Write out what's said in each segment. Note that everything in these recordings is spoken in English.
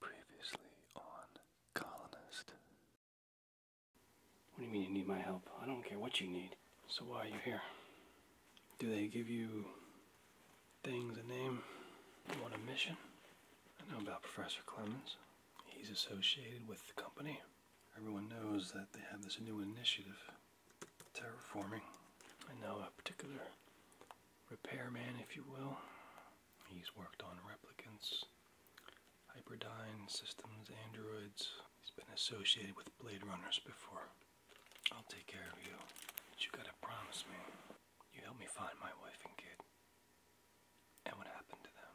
Previously on Colonist. What do you mean you need my help? I don't care what you need. So why are you here? Do they give you things a name? You want a mission? I know about Professor Clemens. He's associated with the company. Everyone knows that they have this new initiative, terraforming. I know a particular repairman, if you will, He's worked on replicants, hyperdine systems, androids. He's been associated with Blade Runners before. I'll take care of you, but you gotta promise me you help me find my wife and kid and what happened to them.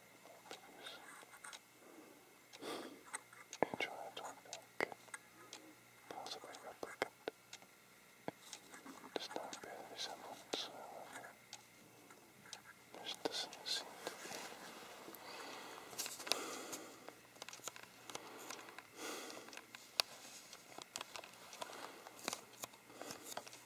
Enjoy a possibly replicant. Does not bear resemblance, doesn't seem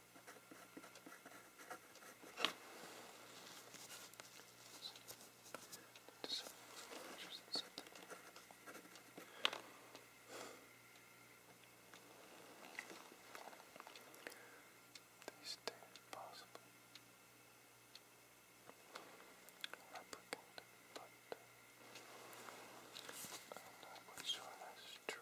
These two possibly replicant, but I'm not quite sure that's true.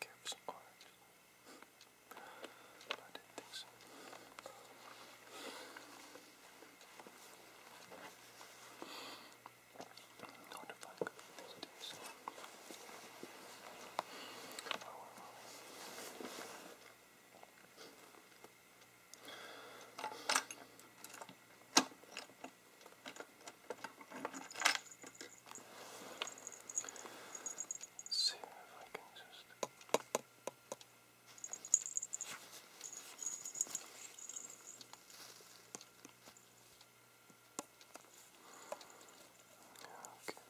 Care for some orange. I didn't think so notified these days. Oh, well. Let's see if I can just Okay.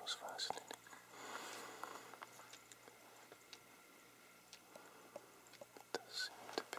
most fascinating. It does seem to be.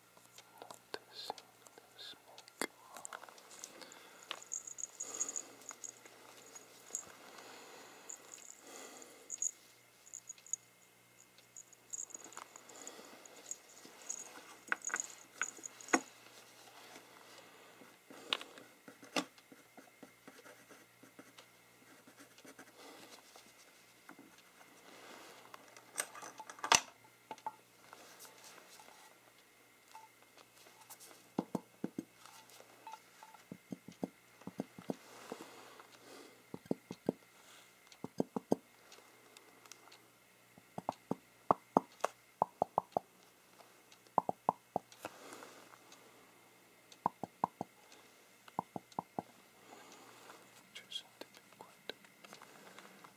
Noticing the smoke. Now just to be quiet.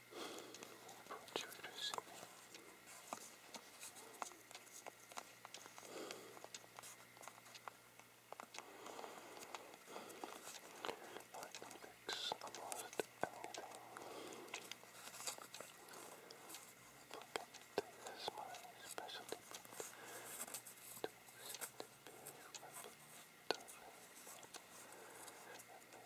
I want you to see me. I can fix almost anything. Forget this my specialty. To set the beer, remember, doesn't matter. And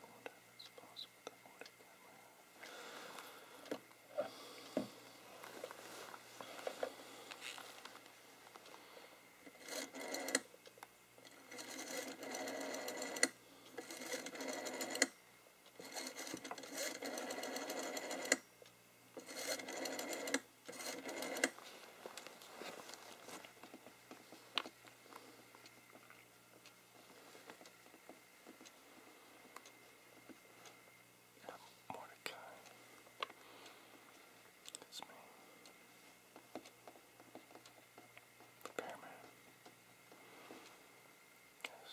Whatever's possible that would have been yeah, Mordecai. That's me. Repairman. Yes.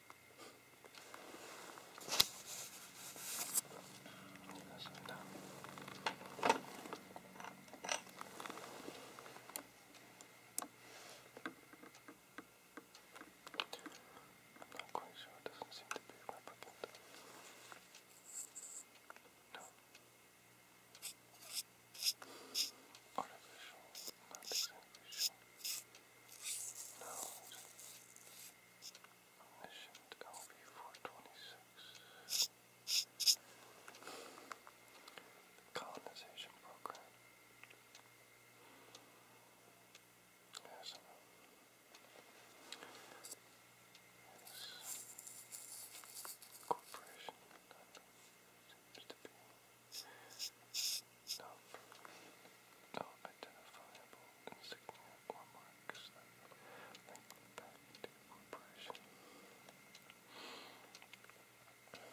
not quite sure, it doesn't seem to be a replicant. No. Artificial, not artificial. No. Omniscient LB426. colonization program. Yes, I corporation that seems no identifiable insignia or marks that back to the corporation. No,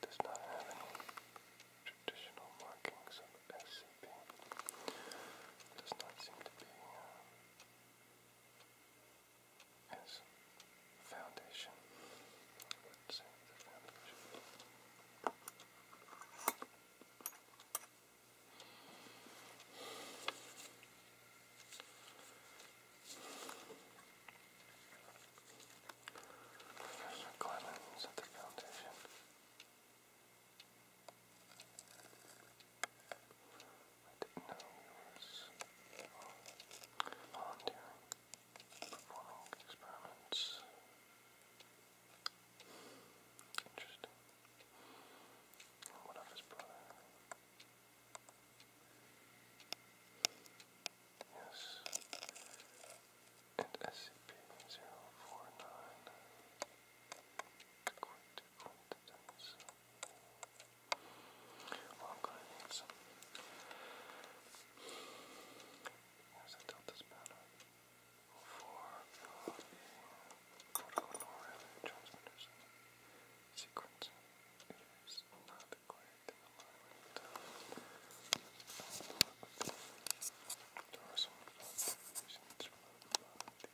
does not have any traditional markings of SCP seem be, does not seem to be um, as foundation. Let's see the foundation. Professor Clemens at the foundation. I didn't know he was volunteering, performing experiments. Interesting. And of his brother? Yes. And SCP-049. Quick well, I'm going to need some. Yes, I dealt this battle for uh, the Protocol Norway transmitters sequence. It is not quite in alignment. Uh, there are some reasons for that.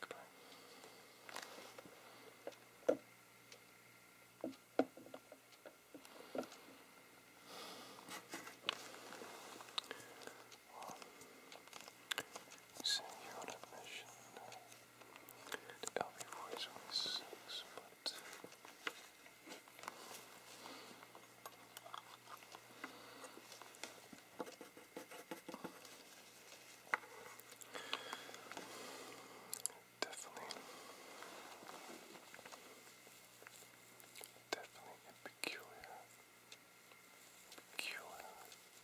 Goodbye. send you on a mission to LB4 26, but Definitely, definitely a peculiar, peculiar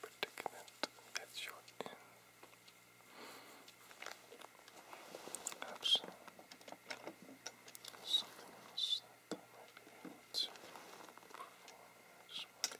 predicament that you're in. Something else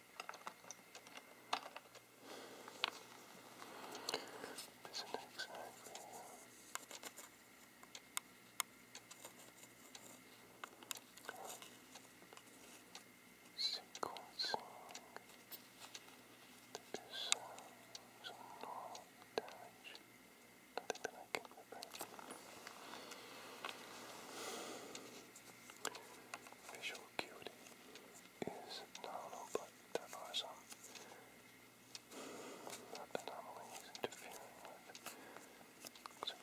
This isn't exactly. Uh, sequencing. There is uh, some normal damage. Nothing that I can repair. Visual acuity is nominal but there are some anomalies interfering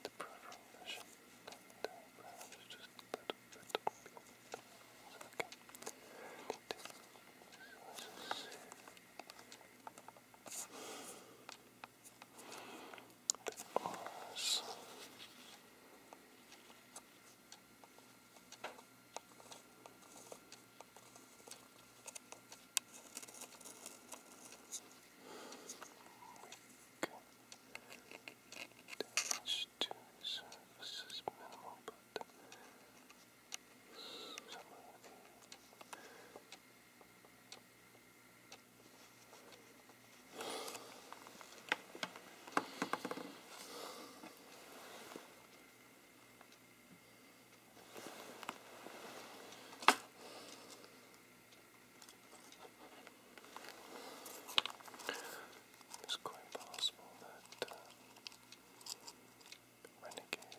the peripheral vision and just a little the R's. Damage to surfaces minimal, but some of the it's quite possible that uh, Renegade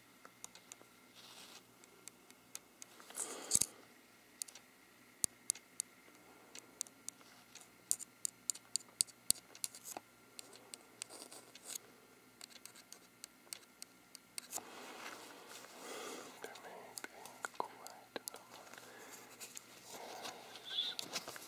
There may be quite a number. Yes, just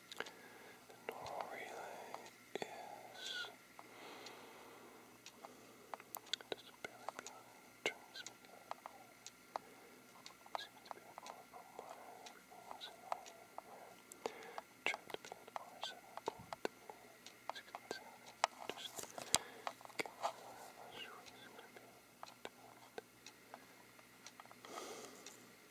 The normal relay is just barely beyond the transmitter. Seems to be an orbital monitor frequency over Trapped between R7.3 Just getting out of that. I'm not sure what it's going to be.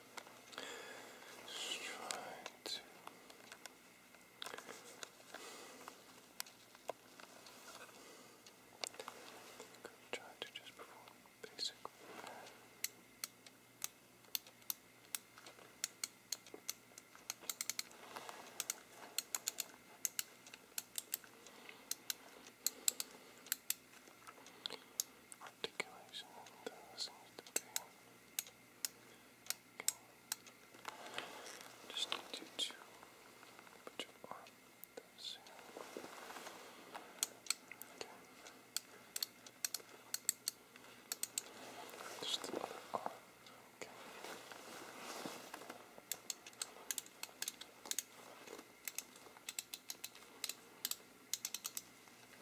Just trying to i to just perform basic Articulation, just need you to put your arm down soon. Okay. Just the other arm. Okay. Okay.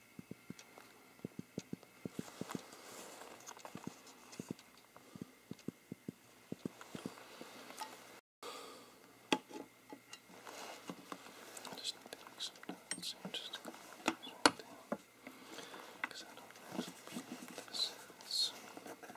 Just think sometimes you just go on this because I don't actually know what this is. Okay,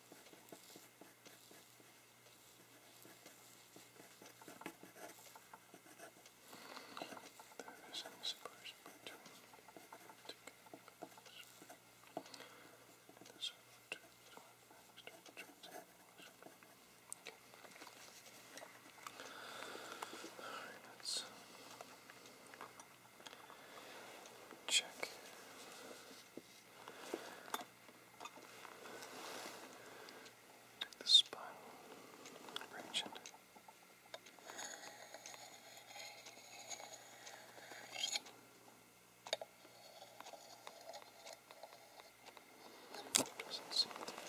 There is an separation between the and the server to the Alright, let's Check. Take the spinal region. Doesn't seem to be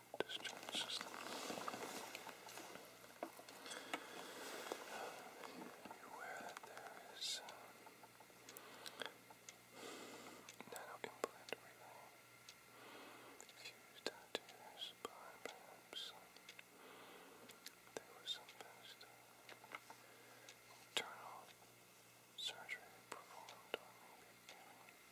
discharge system. You're aware that there is um, nano implant relay fused into your spine, perhaps. There was some past internal surgery performed on maybe even some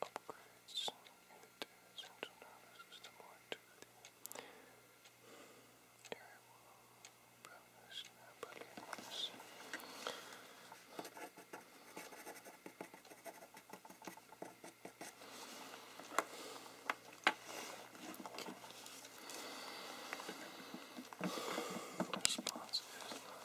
upgrades in the central nervous system or to the area brownness and balloons. Response is not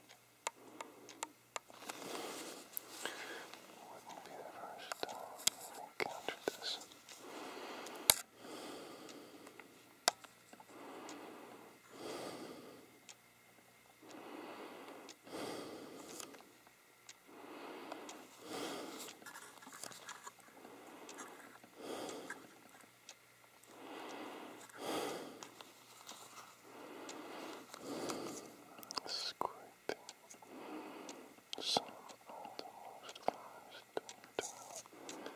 Wouldn't be the first time I've encountered this. Scraping some of the most fast down.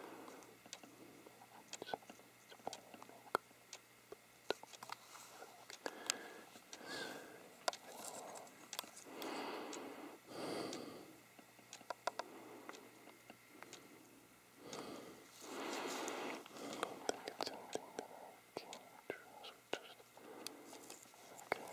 Just think it's anything that I can do, so just, okay. Okay.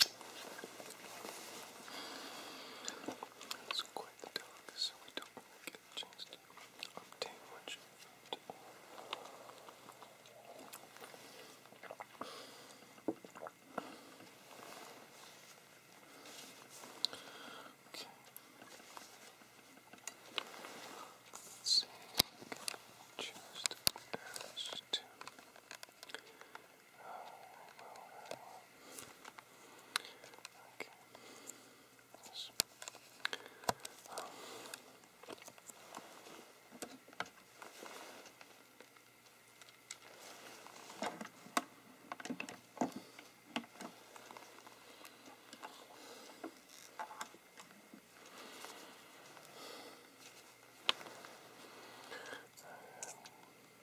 It's quite the so we don't get a chance to Okay. Let's see. Just as to Oh, very well, very well. Okay. Yes. Um. Um,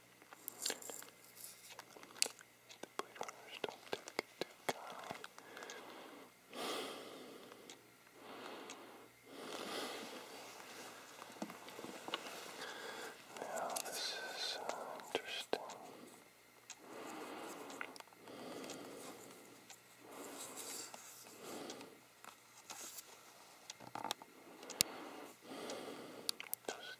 The Blade Runners don't take it too kindly. Now this is uh, interesting. Does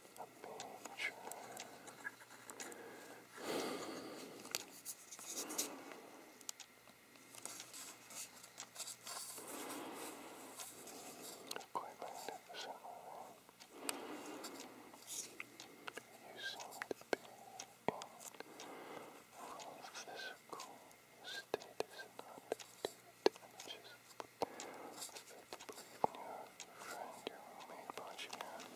a Quite magnificent moment. You seem to physical state not too damages. I believe in you friend who made Bachi mad.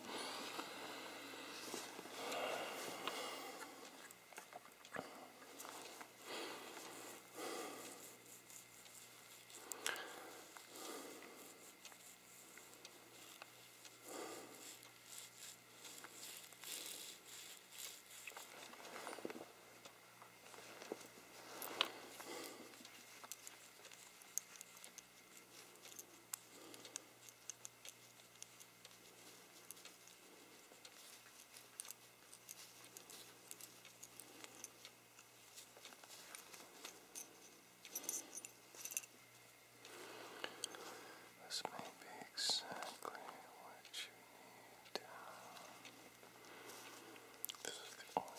This may be exactly what you need This is the I have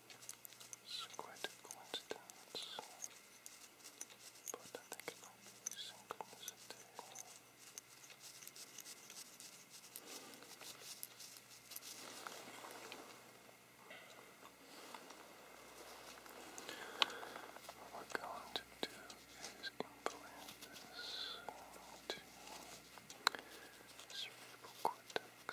it's quite a coincidence, but I think it might be What we're going to do is implant this into cerebral cortex.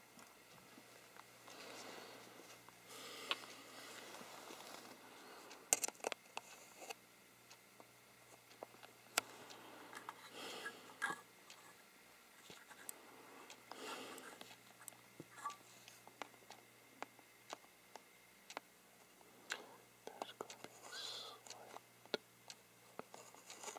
There's going to be a slight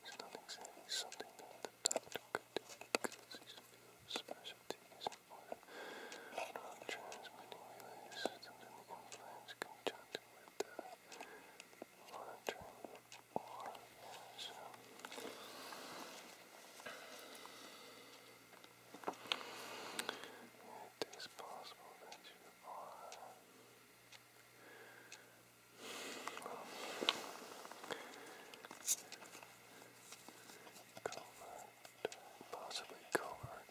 He's not exactly something that the doctor could do these field specialties important non-transmitting relay systems and implants conjunct with the uh, monitoring It is possible that you are Covert, possibly covert.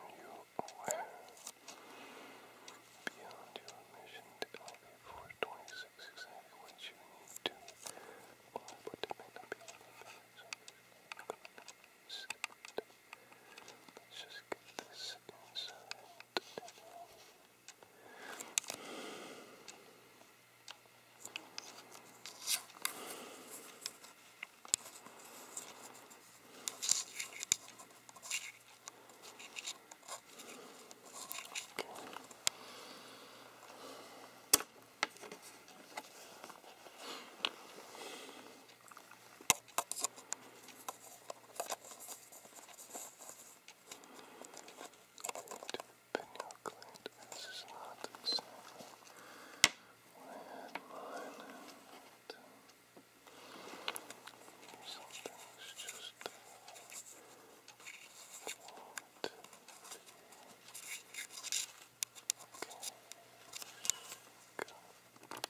Are you aware? Beyond your mission to elevate 426 exactly what you need to, or may not be able to Let's just get this inside. Okay. Pinot Clint, this is not the same when I had mine. But, uh, some things just uh, won't be okay. Go.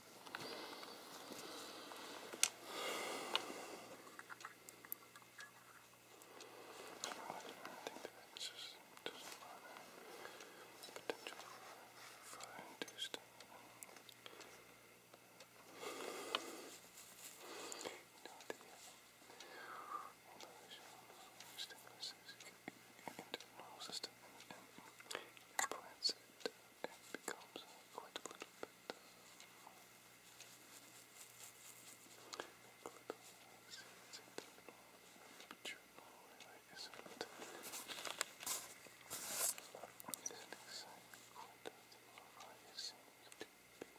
I think that it just doesn't matter the potential for fire induced. You know, the uh, stimulus is into the neural system and, and implants it and becomes quite a little bit uh, little, see, it's internal, but your really isn't isn't exactly quite as low it seems to be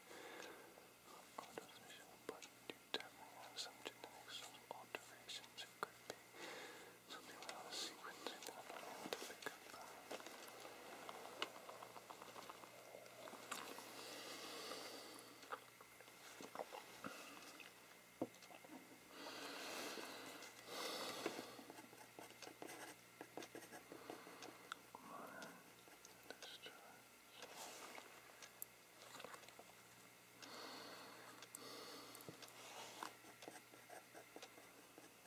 auto-vision, but you definitely have some genetics, alterations it could be something about the sequencing that I'm not able to pick up on. Modern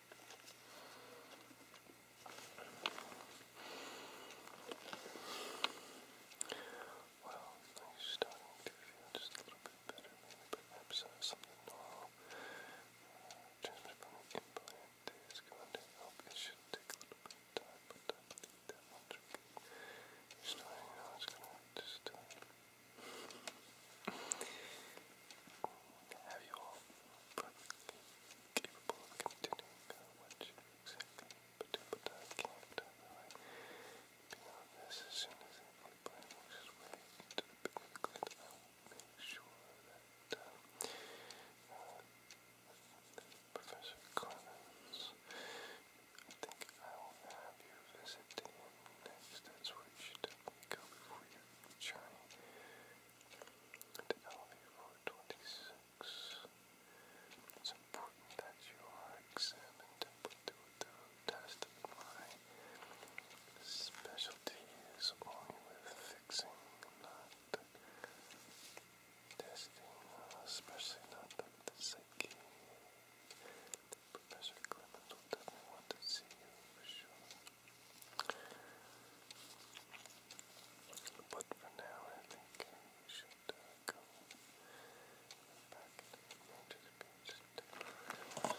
Well, I'm starting to feel just a little bit better, maybe perhaps uh, something normal. Uh, transmitted from the implant is going to help. It should take a little bit of time, but I believe that much will get starting now. It's going to just uh, have you all perfectly capable of continuing what you exactly but but I can't tell the way this as soon as the plan works its way into the make sure that Professor Clemens I think I'll have you visit next. That's where you go before your journey to elevate for It's important that you are examined and put through a specialty is only with fixing, not testing, especially not the psyche. Professor Clement will definitely want to see you but for now, I think we should uh, go back to the beach.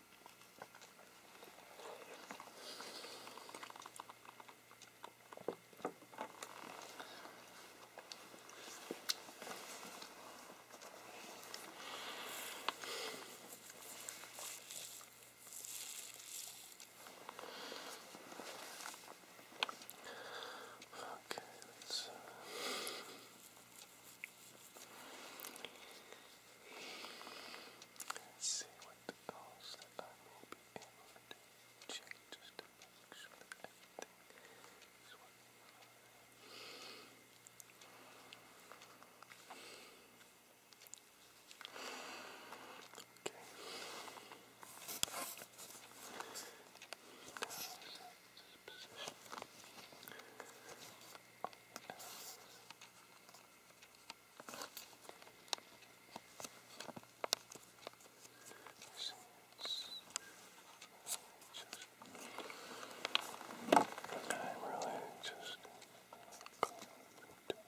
Okay, let's uh, Let's see what else that I may be able to check just to make sure everything is Okay. I'm really just Good.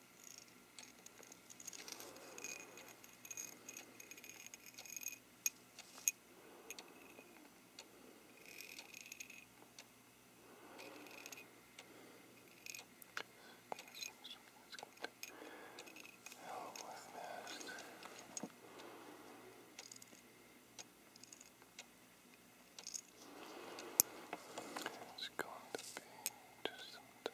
It's going to be just some time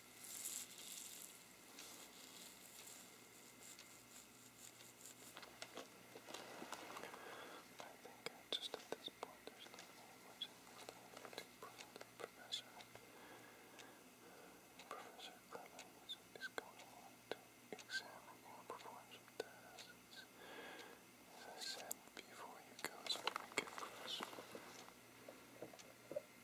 I think uh, just at this point there's not really much in this thing to present the professor. Professor Clemens is going on to examine you and perform some tests. As I said before, you go so make it for us.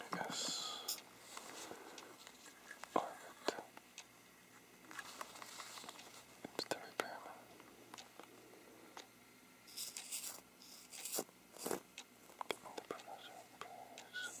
I guess part of it. It's Give me the browser, please.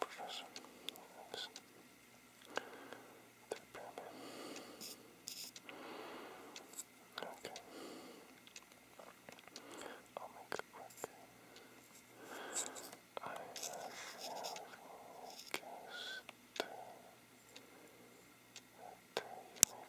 Professor, thanks. Okay. I'll make it quick. I have that you may be interested in uh, examining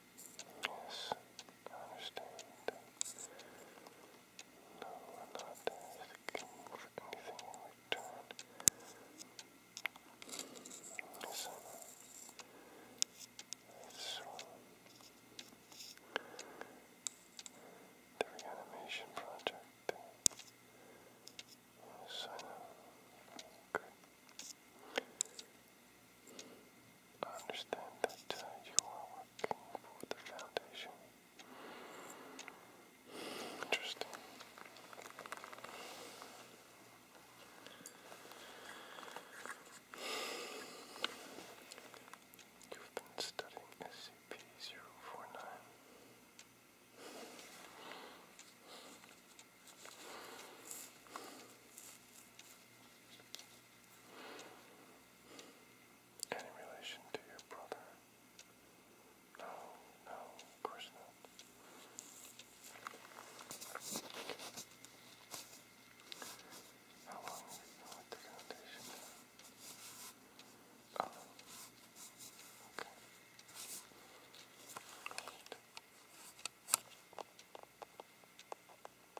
Yes, I understand. No, we're not asking anything in return. Yes, I know. It's um, project. Yes, I know. I understand that uh, you are working for the foundation. Interesting. You've been studying SCP-049. Any relation to your brother? No, no, of course not. How long have you been the foundation? Oh,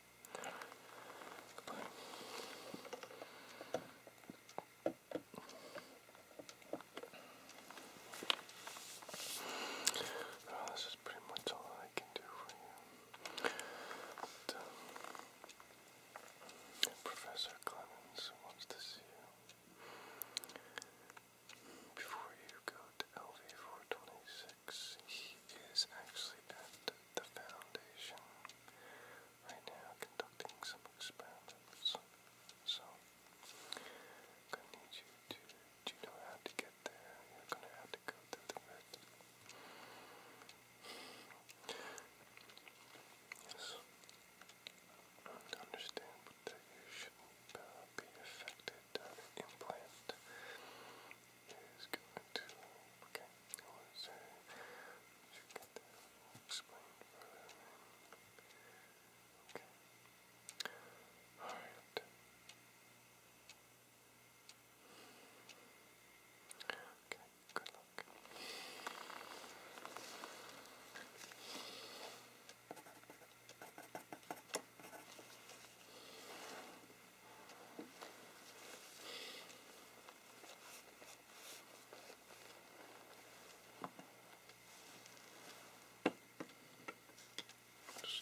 Oh, this is pretty much all I can do for you. Um, Professor Clemens wants to see you. Before you go to LV426, he is actually at the Foundation right now conducting some experiments. So, i need you to, know how to get there? You're going to have to go through the red. Understand that you shouldn't be affected. Uh, implant is going to, was uh, should get that explained further. Okay. Alright. Okay, good luck. Just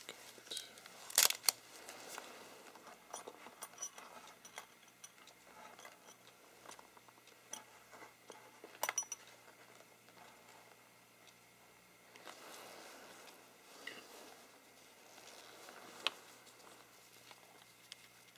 going to